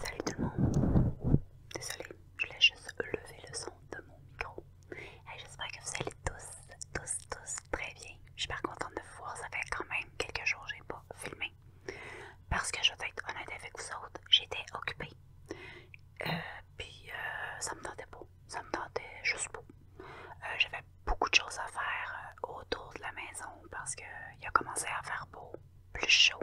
Salut tout le monde! Désolée, je voulais juste lever le son de mon micro. J'espère que vous allez tous, tous, tous très bien. Je suis pas contente de vous voir, ça fait quand même quelques jours que je n'ai pas filmé. Parce que je vais être honnête avec vous autres, j'étais occupée. Euh, Puis euh, ça me tentait pas, ça me tentait juste pas. Euh, j'avais beaucoup de choses à faire euh, autour de la maison parce qu'il a commencé à faire beau, plus chaud.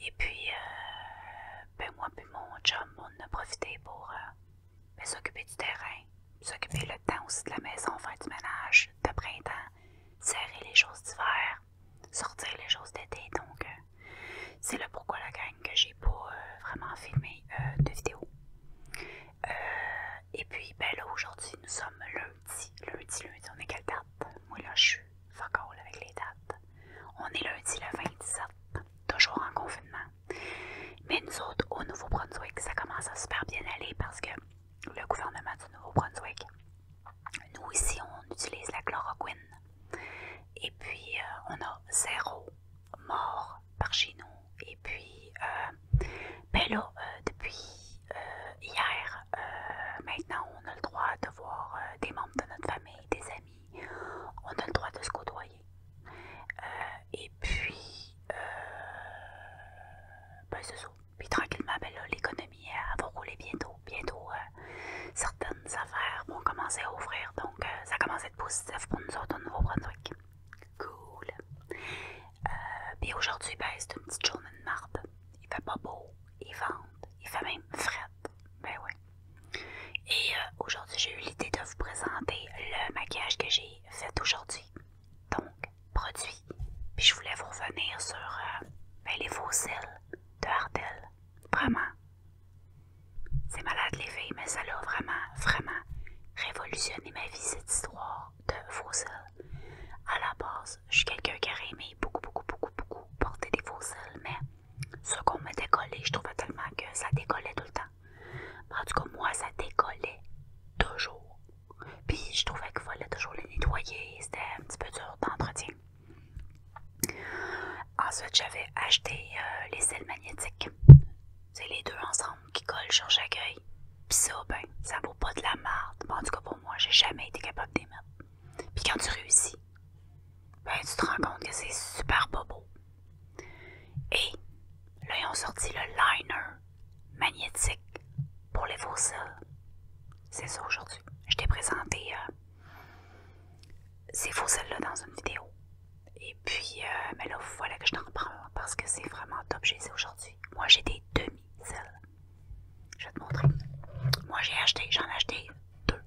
Et puis, euh, ben, moi puis mon job on a profité pour euh, ben, s'occuper du terrain, s'occuper le temps aussi de la maison, faire du ménage de printemps, serrer les choses d'hiver, sortir les choses d'été. Donc, c'est le pourquoi la gang que j'ai pas vraiment filmé de vidéo. Euh, et puis, ben là, aujourd'hui, nous sommes lundi. Lundi, lundi, on est quelle date? Moi, là, je suis avec les dates. On est lundi le 27, toujours en confinement. Mais nous autres, au Nouveau-Brunswick, ça commence à super bien aller parce que le gouvernement du Nouveau-Brunswick, nous ici, on utilise la chloroquine. Et puis, euh, on a zéro mort par chez nous et puis euh, Bello, euh, depuis euh, hier, maintenant on a le droit de voir des membres de notre famille, des amis, on a le droit de se côtoyer. et puis, ben c'est ça. Puis tranquillement, ma ben l'économie va rouler bientôt. Bientôt, certaines affaires vont commencer à ouvrir, donc ça commence à être positif pour nous autres au Nouveau-Brunswick. Cool. Et euh, aujourd'hui, ben, c'est une petite journée de marde. Il fait pas beau, il vente, il fait même frette. Ben ouais. Et euh, aujourd'hui, j'ai eu l'idée de vous présenter le maquillage que j'ai fait aujourd'hui. Donc, produit. Puis je voulais vous revenir sur euh, ben, les fossiles de Hardel. Vraiment. C'est malade les filles, mais ça a vraiment, vraiment révolutionné ma vie cette histoire de À la base, je suis quelqu'un qui aurait aimé beaucoup, beaucoup, beaucoup, beaucoup porter des faux mais ce qu'on me décollait, je trouvais tellement que ça décollait tout le temps. En tout cas, moi, ça décollait toujours. Puis je trouvais qu'il fallait toujours les nettoyer, c'était un petit peu dur d'entretien. Ensuite, j'avais acheté euh, les sels magnétiques. C'est les deux ensemble qui collent sur chaque œil. Pis ça, ben, ça vaut pas de la marde. Bon, en tout cas, pour moi, j'ai jamais été capable d'émettre. Puis quand tu réussis, ben, tu te rends compte que c'est super pas beau. Et là, ils ont sorti le liner magnétique pour les fossiles. C'est ça aujourd'hui. Je t'ai présenté euh, ces ces fossiles-là dans une vidéo. Et puis, euh, mais là, voilà que je t'en reparle parce que c'est vraiment top chez aujourd'hui. Moi, j'ai des demi-celles. Je vais te montrer. Moi, j'ai acheté, j'en ai acheté deux.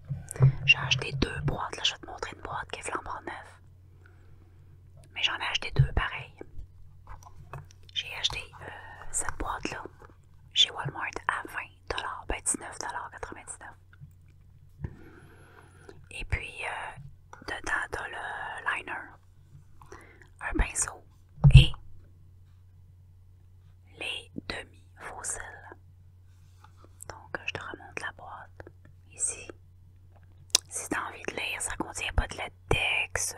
J'ai acheté deux boîtes. Là, je vais te montrer une boîte qui est flambant neuf. Mais j'en ai acheté deux pareil. J'ai acheté euh, cette boîte-là chez Walmart à 20$, ben 19,99$. Et puis, euh, dedans, t'as le liner un pinceau et les demi-fossiles. Donc, je te remonte la boîte ici. Si tu as envie de lire, ça contient pas de latex.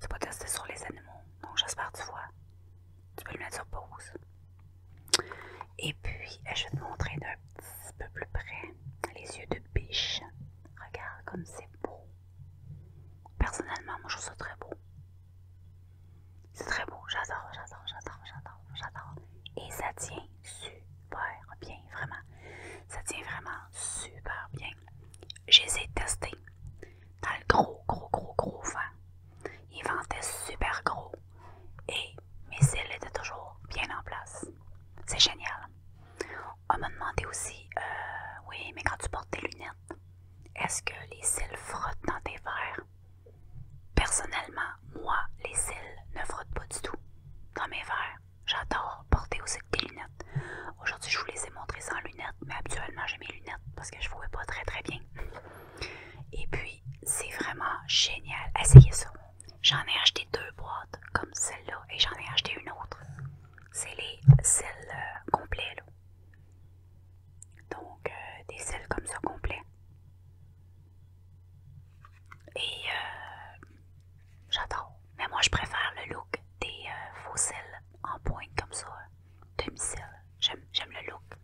C'est pas testé sur les animaux. Donc, j'espère que tu vois. Tu peux le mettre sur pause. Et puis, je vais te montrer un petit peu plus près les yeux de biche. Regarde comme c'est beau. Personnellement, moi je trouve ça très beau. C'est très beau, j'adore, j'adore, j'adore, j'adore, j'adore. Et ça tient super bien, vraiment. Ça tient vraiment super bien. Je les ai testés dans le gros, gros, gros, gros vent. Ils ventaient super gros et mes cils étaient toujours bien en place. C'est génial. On m'a demandé aussi, euh, oui, mais quand tu portes tes lunettes, est-ce que les cils frottent dans tes verres? Personnellement, moi, les cils ne frottent pas du tout dans mes verres. J'adore porter aussi des lunettes. Aujourd'hui, je vous les ai montrées sans lunettes, mais habituellement, j'ai mes lunettes parce que je ne vois pas très très bien. Et puis, c'est vraiment génial. Essayez ça. J'en ai acheté deux boîtes comme celle-là et j'en ai acheté une autre. C'est les celles euh, complets. Là. Donc, euh, des celles comme ça complets. Et euh, j'adore. Mais moi, je préfère le look des faux cils, en pointe comme ça, demi-sel. J'aime le look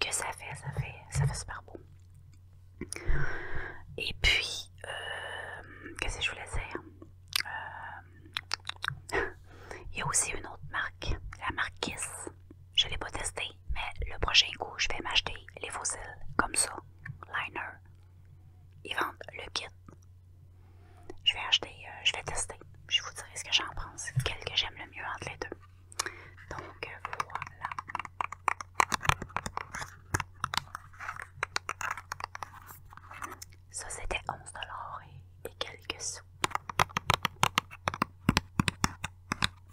que ça fait, ça fait, ça fait super beau. Et puis, euh, qu'est-ce que je voulais dire euh, Il y a aussi une autre marque, la marque Kiss. Je ne l'ai pas testée, mais le prochain coup, je vais m'acheter les fossiles comme ça, liner. Ils vendent le kit. Je vais acheter, euh, je vais tester. Je vous dirai ce que j'en pense, quel que j'aime le mieux entre les deux. Donc voilà. Ça, c'était 11 dollars et, quelques sous.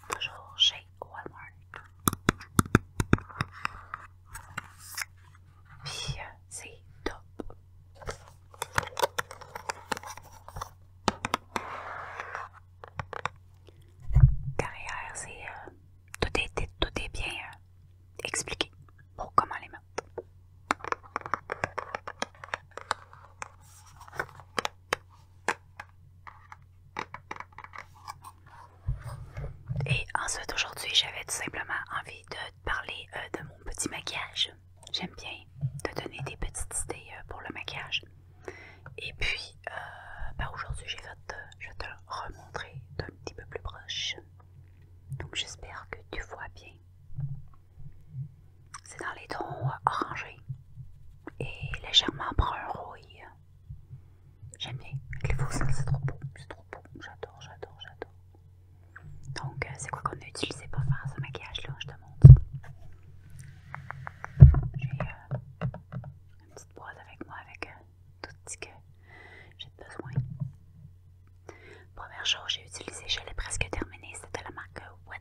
Toujours chez Walmart. Puis, euh, c'est top. Carrière, c'est euh, tout est, tout bien euh, expliqué pour comment les mettre. Et ensuite aujourd'hui j'avais tout simplement envie de parler euh, de mon petit maquillage. J'aime bien te donner des petites idées euh, pour le maquillage. Et puis euh, bah, aujourd'hui je vais te le remontrer d'un petit peu plus proche. Donc j'espère que tu vois bien. C'est dans les tons euh, orangés et légèrement brun rouille. J'aime bien. les fausses, c'est trop beau. C'est trop beau. J'adore, j'adore, j'adore. Donc, euh, c'est quoi qu'on a utilisé pour faire ce maquillage-là? Je te montre. J'ai une petite boîte avec moi avec tout ce que j'ai besoin. Première chose, j'ai utilisé, je l'ai presque terminé, c'était la marque Wet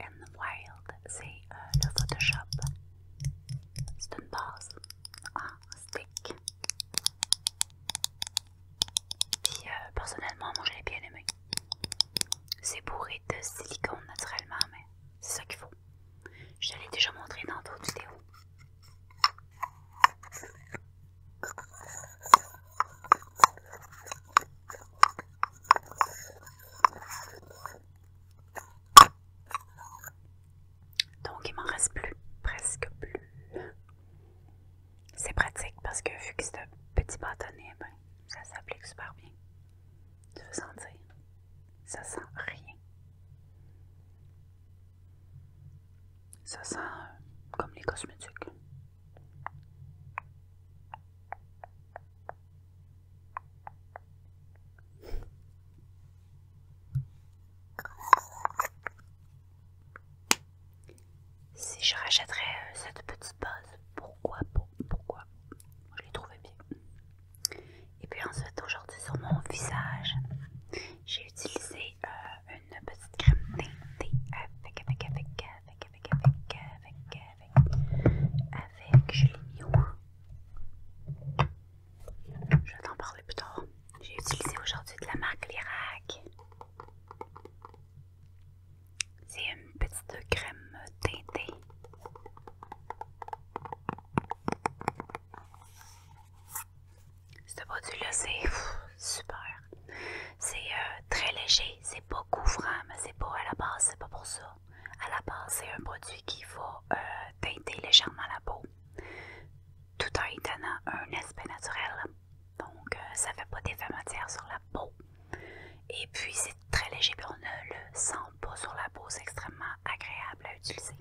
n Wild. C'est euh, le Photoshop. C'est une base en stick. Puis euh, personnellement, moi je l'ai bien aimé. C'est bourré de silicone naturellement, mais c'est ça qu'il faut. Je te l'ai déjà montré dans d'autres vidéos. Donc il m'en reste plus, presque plus. C'est pratique parce que vu que c'est un petit bâtonnet, ben, ça s'applique super bien. Tu veux sentir? Ça sent rien ça sent euh, comme les cosmétiques. Si je rachèterais euh, cette petite base, pourquoi, pas? pourquoi je l'ai trouvé bien. Et puis ensuite, aujourd'hui, sur mon visage, j'ai utilisé une petite crème teintée avec, avec, avec, avec, avec, avec, avec, avec, avec, je l'ai mis Je vais t'en parler plus tard. J'ai utilisé aujourd'hui de la marque Lirac. C'est une petite crème teintée. Ce produit-là, c'est super. C'est euh, très léger, c'est pas couvrant, mais c'est pas à la base, c'est pas pour ça. À la base, c'est un produit qui va euh, teinter légèrement la peau, tout en donnant un aspect naturel. Donc, euh, ça fait pas d'effet matière sur la peau. Et puis, c'est très léger pour on ne le sent pas sur la peau, c'est extrêmement agréable à utiliser.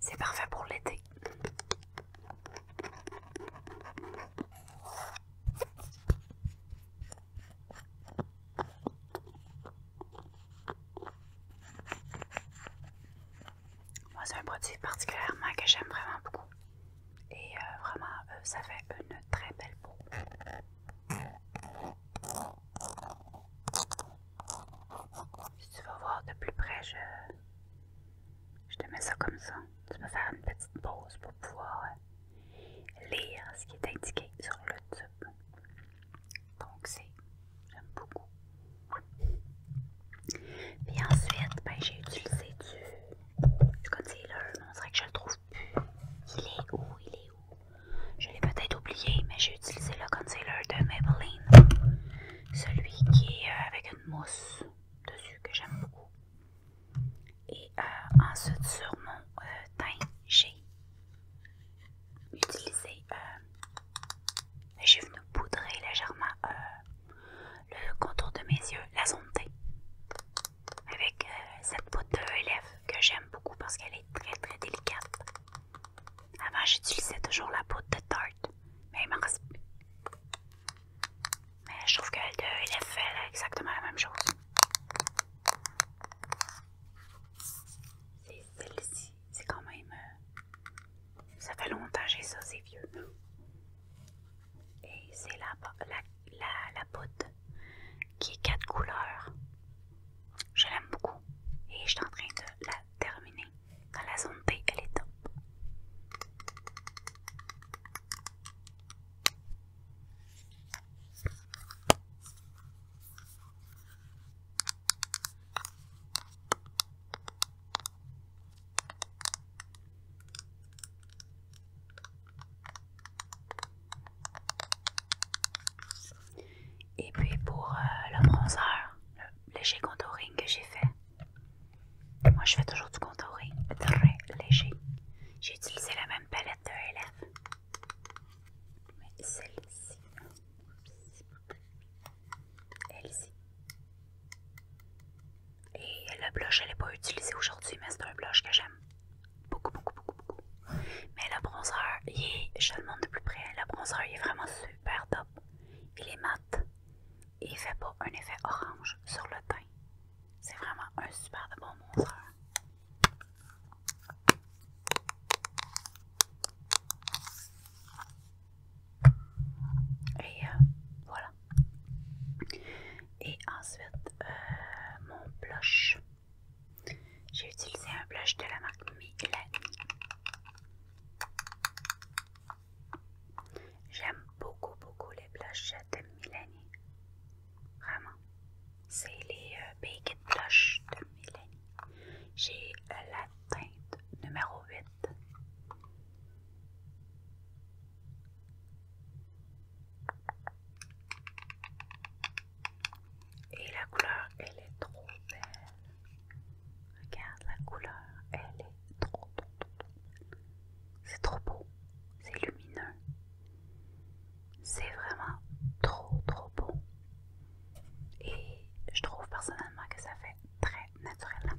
C'est parfait pour l'été. Moi, c'est un produit particulièrement que j'aime vraiment beaucoup. Et euh, vraiment, euh, ça fait une très belle peau. Si tu vas voir de plus près, je, je te mets ça comme ça. Tu vas faire une petite pause pour pouvoir euh, lire ce qui est indiqué sur le tube. Donc c'est, j'aime beaucoup. Puis ensuite, ben, j'ai utilisé du, concealer, mais on dirait que je le trouve plus. Il est où? Il est où? Je l'ai peut-être oublié, mais j'ai utilisé le concealer de Maybelline. Celui qui est euh, avec une mousse dessus que j'aime beaucoup. Et euh, ensuite, sur mon euh, teint, j'ai utilisé. Ben, j'ai venu poudrer légèrement le contour de mes yeux, la zone avec euh, cette poudre de ELF que j'aime beaucoup parce qu'elle est très très délicate. Avant, j'utilisais toujours la poudre de Tarte, mais elle reste Mais je trouve que de ELF fait exactement la même chose. C'est celle-ci, c'est quand même. Euh, ça fait longtemps que j'ai ça, c'est vieux. Et c'est la, la la, la qui est quatre couleurs. Je l'aime beaucoup et je suis en train de la terminer. Dans la zone elle est top. Et puis pour euh, le bronzer, le léger contouring que j'ai fait. Moi je fais toujours du contouring très léger. J'ai utilisé la même palette de LF. Mais celle-ci. Elle-ci. Et le blush, je ne l'ai pas utilisé aujourd'hui, mais c'est un blush que j'aime beaucoup, beaucoup, beaucoup, beaucoup. Mais la bronzer, je le montre de plus près, la bronzer est vraiment super top. Il est mat et fait pas un effet orange sur le teint. C'est vraiment un super bon bronzer. Et euh, voilà. Et ensuite, euh, mon blush. J'ai utilisé un blush de la marque Milani. J'aime beaucoup, beaucoup les blushs de Milani. Vraiment. C'est les big euh, Baked de Milani. J'ai euh, la teinte numéro 8. Et la couleur, elle est trop belle. Regarde la couleur, elle est trop, trop, trop, trop belle. C'est trop beau, c'est lumineux. C'est vraiment trop, trop beau. Et je trouve personnellement que ça fait très naturel.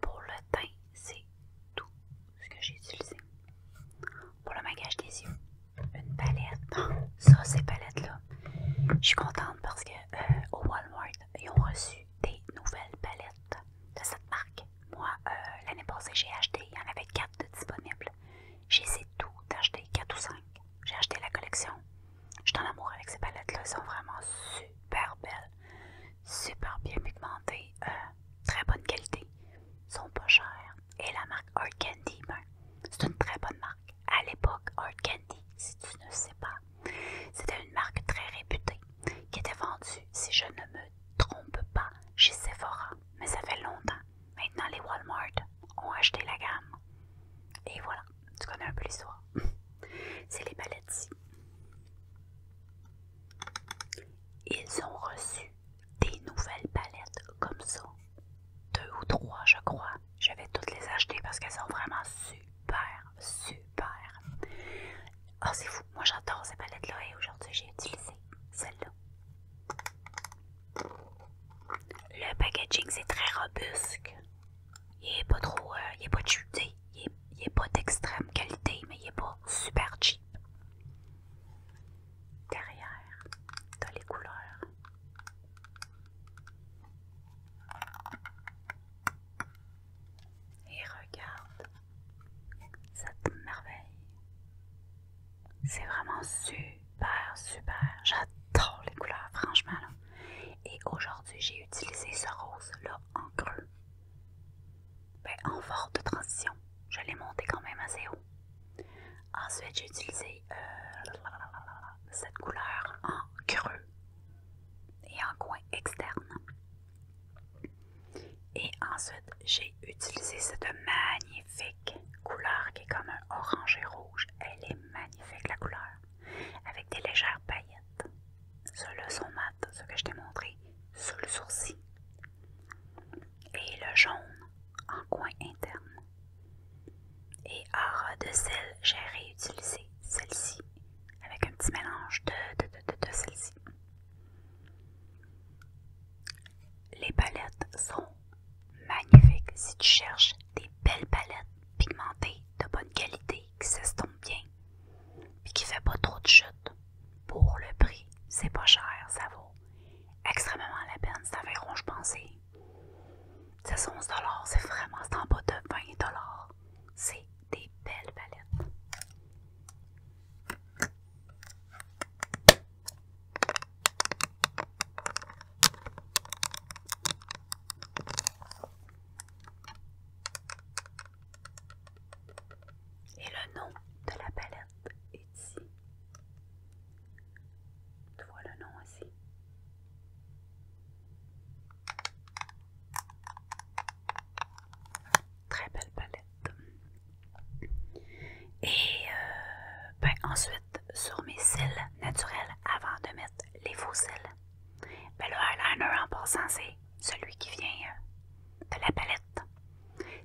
Pour le teint, c'est tout ce que j'ai utilisé. Pour le maquillage des yeux, une palette. Ça, ces palettes-là, je suis contente parce que euh, au Walmart, ils ont reçu des nouvelles palettes de cette marque. Moi, euh, l'année passée, j'ai acheté, il y en avait 4 disponibles. disponibles. essayé tout d'acheter, 4 ou 5. J'ai acheté la collection. Je suis en amour avec ces palettes-là, elles sont vraiment super belles. Super bien pigmenté, euh, très bonne qualité, sont pas chers. Et la marque Art Candy, ben, c'est une très bonne marque. À l'époque, Art Candy, si tu ne sais pas, c'était une marque très réputée qui était vendue, si je ne me trompe pas, chez Sephora. Mais ça fait longtemps. Maintenant, les Walmart ont acheté la gamme. Et voilà, tu connais un peu l'histoire. c'est les palettes ils ont reçu des nouvelles palettes comme ça. Deux ou trois, je crois. Je vais toutes les acheter parce qu'elles sont vraiment super, super. oh, c'est fou. Moi, j'adore ces palettes-là et aujourd'hui, j'ai utilisé celle-là. Le packaging, c'est très robuste il est pas trop, euh, il est pas cheap, il pas d'extrême qualité, mais il est pas super cheap. Derrière, dans les couleurs. Et regarde cette merveille. C'est vraiment super, super. J'adore les couleurs, franchement. Et aujourd'hui, j'ai utilisé ce rose-là en creux. Ben, en en de transition. Je l'ai monté quand même assez haut. Ensuite, j'ai utilisé euh, cette couleur en creux et en coin externe. Et ensuite, j'ai utilisé cette magnifique couleur qui est comme un orange et rouge. Elle est magnifique la couleur, avec des légères paillettes. Ceux-là sont mat, ceux que je t'ai montré, sous le sourcil. Et le jaune en coin interne. Et à de sel, j'ai réutilisé celle-ci avec un petit mélange de, de celle-ci. Les palettes sont magnifiques si tu cherches des belles palettes pigmentées de bonne qualité qui s'estompe bien, puis qui fait pas trop de chute Pour le prix, c'est pas cher, ça vaut extrêmement la peine. C'est environ, je pensais, c'est 11 c'est vraiment, c'est en bas de 20 C'est des belles palettes. Et le nom de la palette est ici. Tu vois le nom aussi. Très belle palette. Et euh, ben ensuite, sur mes cils naturels, avant de mettre les faux cils, mais ben le eyeliner, en passant, c'est celui qui vient euh, de la palette.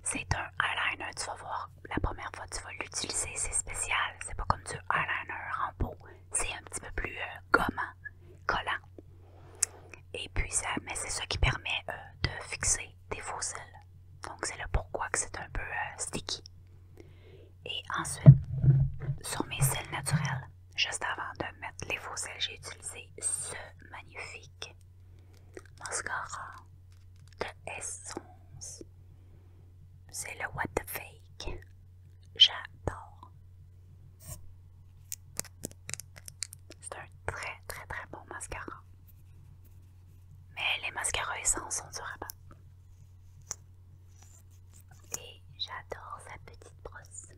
C'est un eyeliner, tu vas voir, la première fois que tu vas l'utiliser, c'est spécial. C'est pas comme du eyeliner en peau. C'est un petit peu plus euh, gommant, collant. Et puis, ça, mais c'est ça qui permet euh, de fixer des faux ailes. Donc, c'est le pourquoi que c'est un peu sticky. Et ensuite, sur mes sels naturels, juste avant de mettre les faux sels, j'ai utilisé ce magnifique mascara de Essence. C'est le What the Fake. J'adore. C'est un très très très bon mascara. Mais les mascaras essence sont durables. Et j'adore sa petite brosse.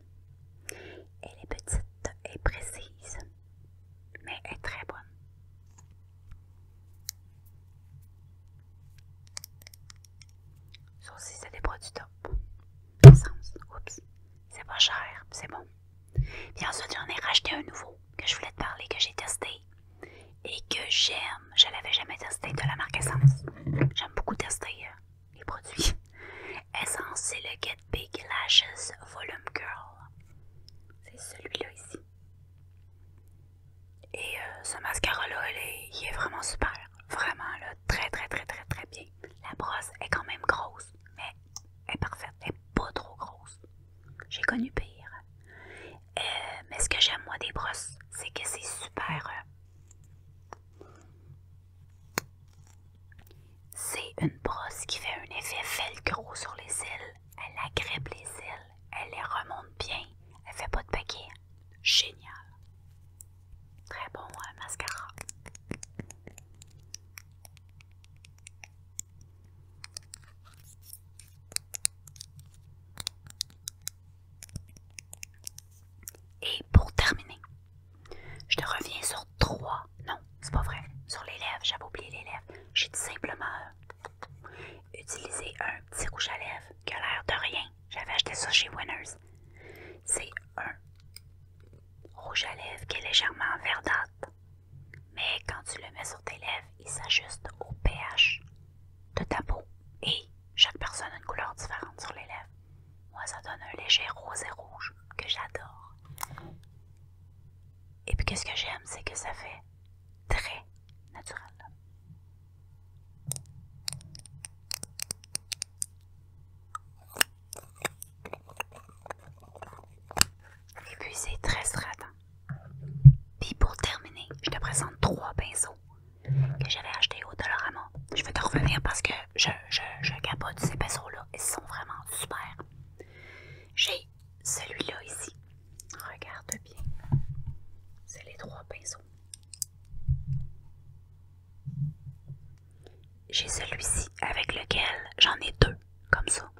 Elle est petite et précise, mais elle est très bonne. Ça aussi, c'est des produits top. Oups, c'est pas cher, c'est bon. Puis ensuite, j'en ai racheté un nouveau que je voulais te parler, que j'ai testé et que j'aime. Je l'avais jamais testé de la marque Essence. J'aime beaucoup tester euh, les produits. Essence, c'est le Get Big Lashes Volume Girl C'est celui-là ici. Et euh, ce mascara-là, il, est vraiment super. Vraiment, là, très, très, très, très, très bien. La brosse est quand même grosse, mais elle est parfaite. Elle est pas trop grosse. J'ai connu pire. Euh, mais ce que j'aime, moi, des brosses, c'est que c'est super... C'est une brosse qui fait un effet velcro sur les cils. Elle agrippe les cils. elle les remonte bien, elle fait pas de paquet. Génial. Très bon hein, mascara. Et pour terminer, je te reviens sur trois. Non, c'est pas vrai. Sur les lèvres, j'avais oublié les lèvres. J'ai tout simplement euh, utilisé un petit rouge à lèvres qui a l'air de rien. J'avais acheté ça chez Winners. C'est un rouge à lèvres qui est légèrement verdâtre. Mais quand tu le mets sur tes lèvres, il s'ajuste au pH de ta Et chaque personne a une couleur différente sur les lèvres. Moi, ça donne un léger rose et rouge que j'adore. Et puis, qu'est-ce que j'aime, c'est que ça fait très naturel. Et puis, c'est très stratant. Hein. Puis, pour terminer, je te présente trois pinceaux que j'avais acheté au Dolorama. Je vais te revenir parce que je, je, capote ces pinceaux-là. Ils sont vraiment super. J'ai celui-là ici. Regarde bien. C'est les trois pinceaux. J'ai celui-ci avec lequel j'en ai deux, comme ça.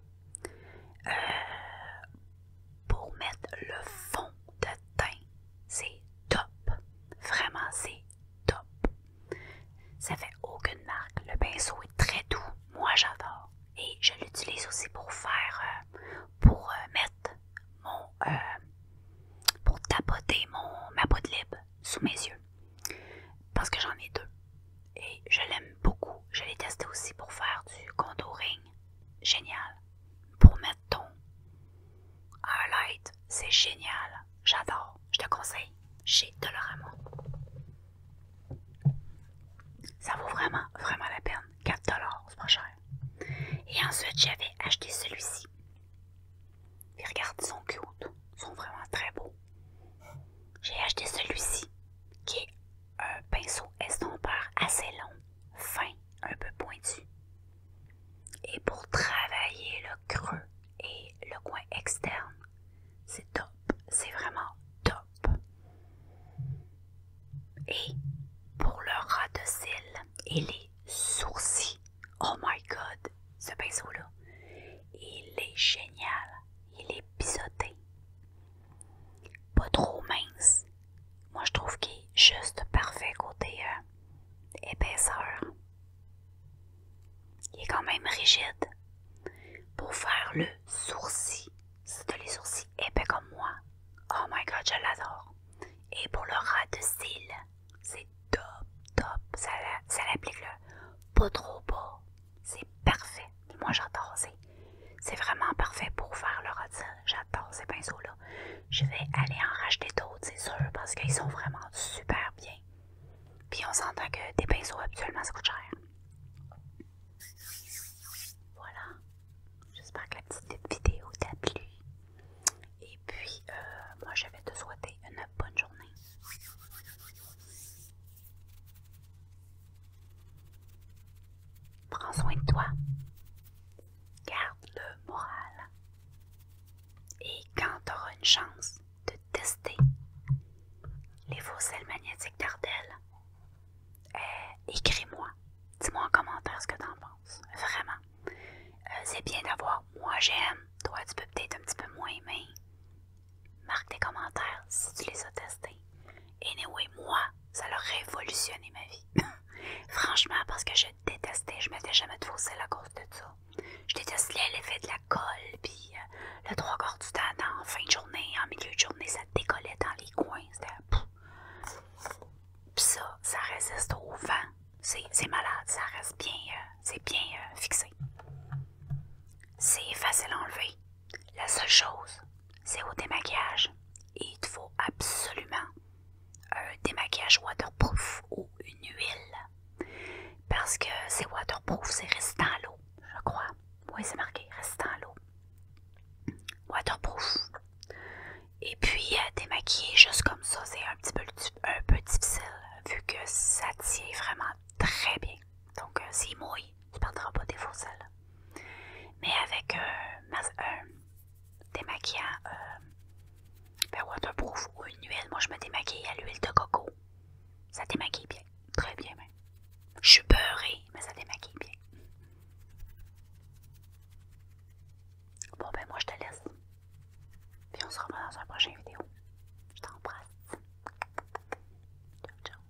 Euh, pour mettre le fond de teint. C'est top. Vraiment, c'est top. Ça fait aucune marque. Le pinceau est très doux. Moi, j'adore. Et je l'utilise aussi pour faire, euh, pour euh, mettre mon, euh, pour tapoter mon, ma peau de libre sous mes yeux. Parce que j'en ai deux. Et je l'aime beaucoup. Je l'ai testé aussi pour faire du contouring. Génial. Pour mettre ton highlight, c'est génial. J'adore. Je te conseille chez Dolorama. Ça vaut vraiment, vraiment la peine. 4 dollars, c'est pas cher. Et ensuite, j'avais acheté celui-ci. regarde, ils sont cute. Ils sont vraiment très beaux. J'ai acheté celui-ci, qui est un pinceau estompeur assez long fin, un peu pointu. Et pour travailler le creux et le coin externe, c'est top. C'est vraiment top. Et pour le ras de cils et les sourcils, oh my god, ce pinceau-là, il est génial. Il est pisoté pas trop mince. Moi, je trouve qu'il est juste parfait côté euh, épaisseur. Il est quand même rigide. Pour faire le sourcil, c'est des les sourcils épais comme moi, oh my god, je l'adore. Et pour le ras de cils, c'est top, top. Ça, ça l'applique pas trop beau, C'est parfait. Moi, j'adore c'est vraiment parfait pour faire le retien J'adore ces pinceaux-là. Je vais aller en racheter d'autres, c'est sûr, parce qu'ils sont vraiment super bien. Puis on s'entend que des pinceaux, habituellement, ça coûte cher. Voilà. J'espère que la petite vidéo t'a plu. Et puis, euh, moi, je vais te souhaiter une bonne journée. Prends soin de toi. Garde le moral. Et quand tu auras une chance de tester les fossiles magnétiques d'Ardel, euh, écris-moi. Dis-moi en commentaire ce que en penses. Vraiment. Euh, c'est bien d'avoir moi j'aime. Toi, tu peux peut-être un petit peu moins aimer. Marque tes commentaires si tu les as testés. Et moi, ça a révolutionné ma vie. Franchement, parce que je détestais, je mettais jamais de fossile à cause de ça. Je détestais l'effet de la colle, puis euh, le trois quarts du temps, en fin de journée, en milieu de journée, ça décollait dans les coins. C'était. ça, ça résiste au vent. C'est malade, ça reste bien, euh, c'est bien euh, fixé. C'est facile à enlever. La seule chose, c'est au démaquillage. Et il te faut absolument un démaquillage waterproof ou une huile. Parce que c'est waterproof, c'est résistant à l'eau, je crois. Oui, c'est marqué, résistant à l'eau. Waterproof. Et puis, euh, démaquiller juste comme ça, c'est un petit peu, un peu difficile, vu que ça tient vraiment très bien. Donc, euh, c'est mouillé. Tu perdras pas des fourcelles. Mais avec un euh, euh, démaquillant euh, ben, waterproof ou une huile, moi je me démaquille à l'huile de coco. Ça démaquille bien, très bien même. Je suis beurrée, mais ça démaquille bien. Bon ben moi je te laisse. Puis on se revoit dans une prochaine vidéo. Je t'embrasse. Ciao ciao.